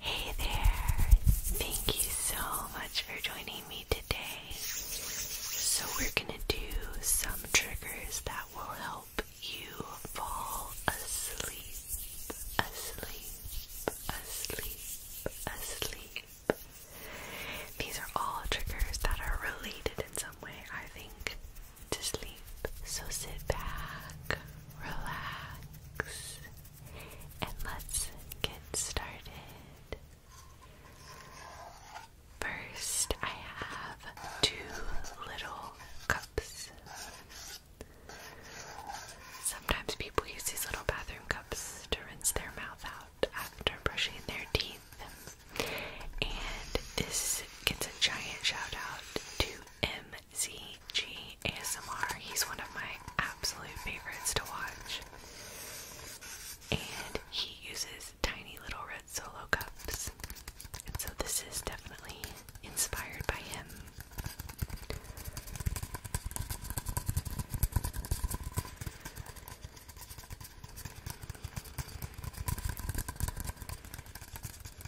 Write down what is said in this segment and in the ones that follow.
Hey there! Thank you so much for joining me today. So, we're gonna do some triggers that will help you fall asleep, asleep, asleep, asleep. These are all triggers that are related in some way, I think, to sleep. So, sit back, relax and let's get started. First, I have two little cups. Sometimes people use these little bathroom cups to rinse their mouth out after brushing their teeth. And this gets a giant shout out to M C G ASMR. He's one of my absolute favorites to watch. And he uses tiny little red solo cups. And so this is definitely inspired by him.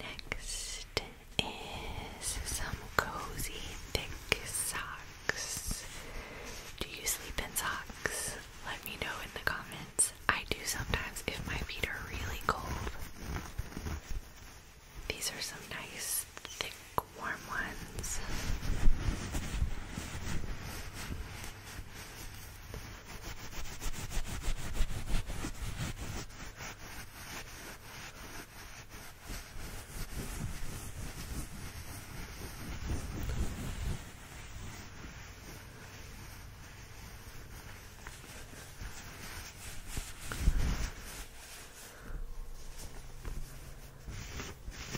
Next is some cozy thick socks. Do you sleep in socks? Let me know in the comments. I do sometimes if my feet are really cold. These are some nice thick, warm ones.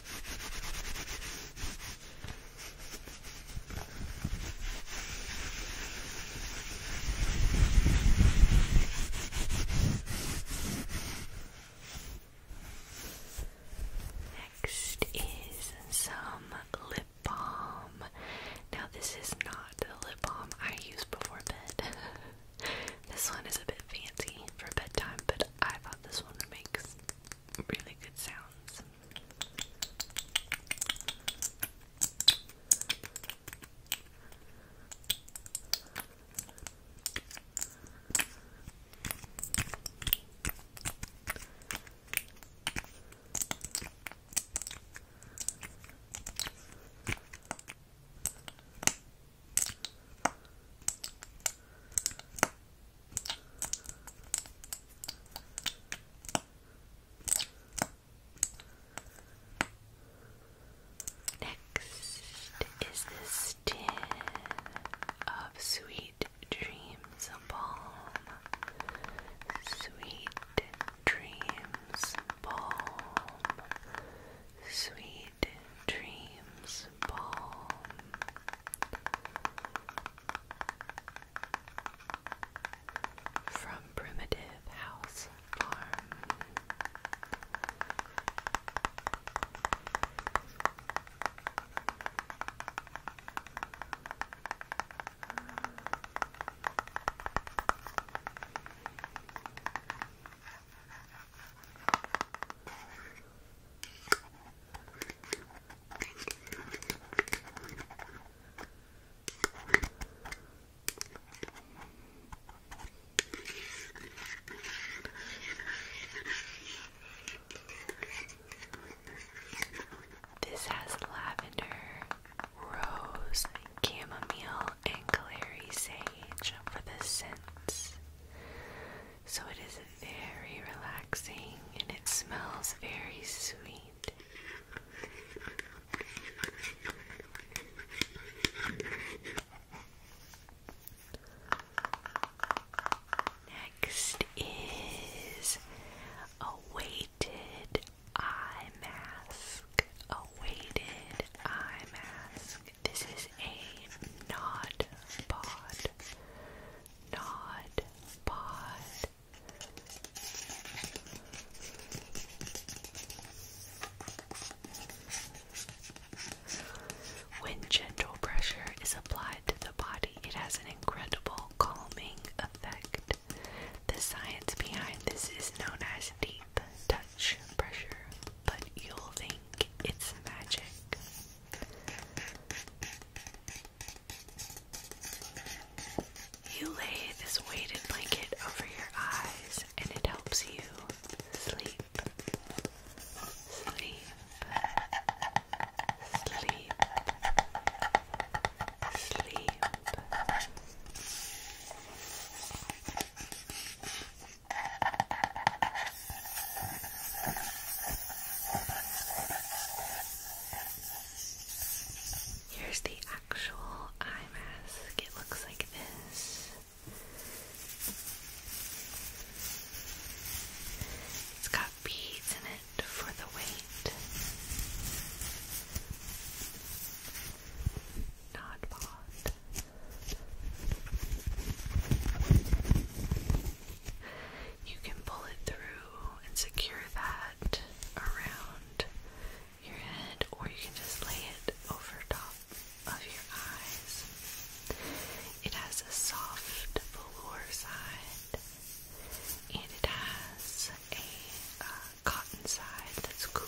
Next is some lip balm. Now, this is not the lip balm I use before bed. This one is a bit fancy for bedtime, but I thought this one makes really good sounds. Next is the stem of Sweet Dreams Balm. Sweet Dreams Balm. Sweet Dreams Balm. From Primitive House Farm. This has lavender, rose, chamomile, and clary sage for the scents. So it is very relaxing and it smells very sweet. Next is a weighted eye mask. A weighted eye mask. This is a Nod Pod. Nod Pod. When gentle pressure is applied to the body, it has an incredible calming effect. The science behind this is known as deep deep touch pressure, but you'll think it's magic. You lay this weighted blanket over your eyes and it helps you sleep. Sleep. Sleep. Sleep. Here's the actual eye mask. It looks like this. It's got beads in it for the weight. Not bought. You can pull it through and secure that around your head, or you can just lay it over top of your eyes. It has a soft velour side, and it has a uh, cotton side that's cooler.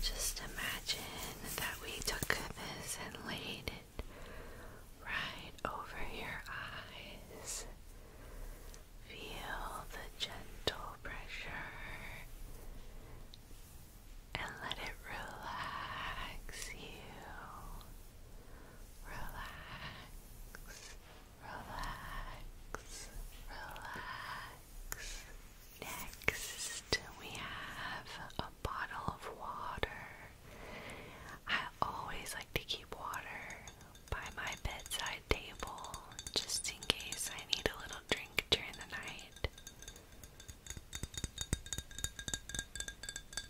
Just imagine that we took this and laid it right over your eyes. Feel the gentle pressure and let it relax you relax, relax, relax. Next, we have a bottle of water. I always like to keep water by my bedside table just in case I need a little drink during the night.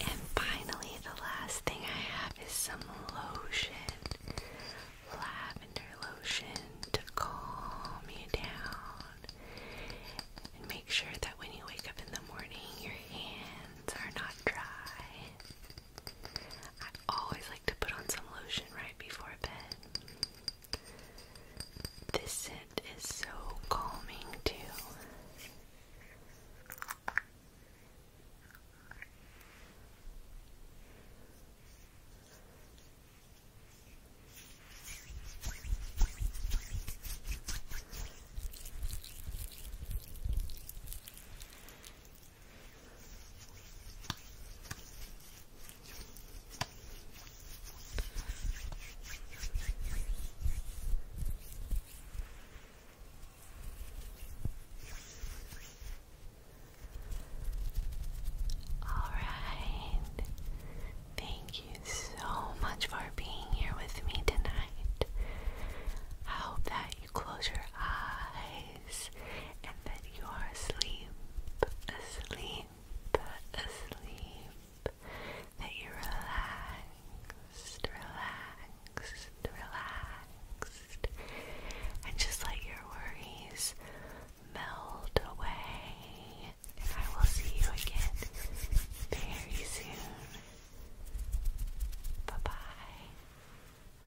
And finally, the last thing I have is some lotion. Lavender lotion to calm you down. And make sure that when you wake up in the morning, your hands are not dry. I always like to put on some lotion right before bed. This scent is so calming, too. All right. Thank you so much for being here with me tonight. I hope that you close your eyes and that you are asleep, asleep, asleep, that you're relaxed, relaxed, relaxed, and just let your worries melt away. And I will see you again very soon. Bye bye.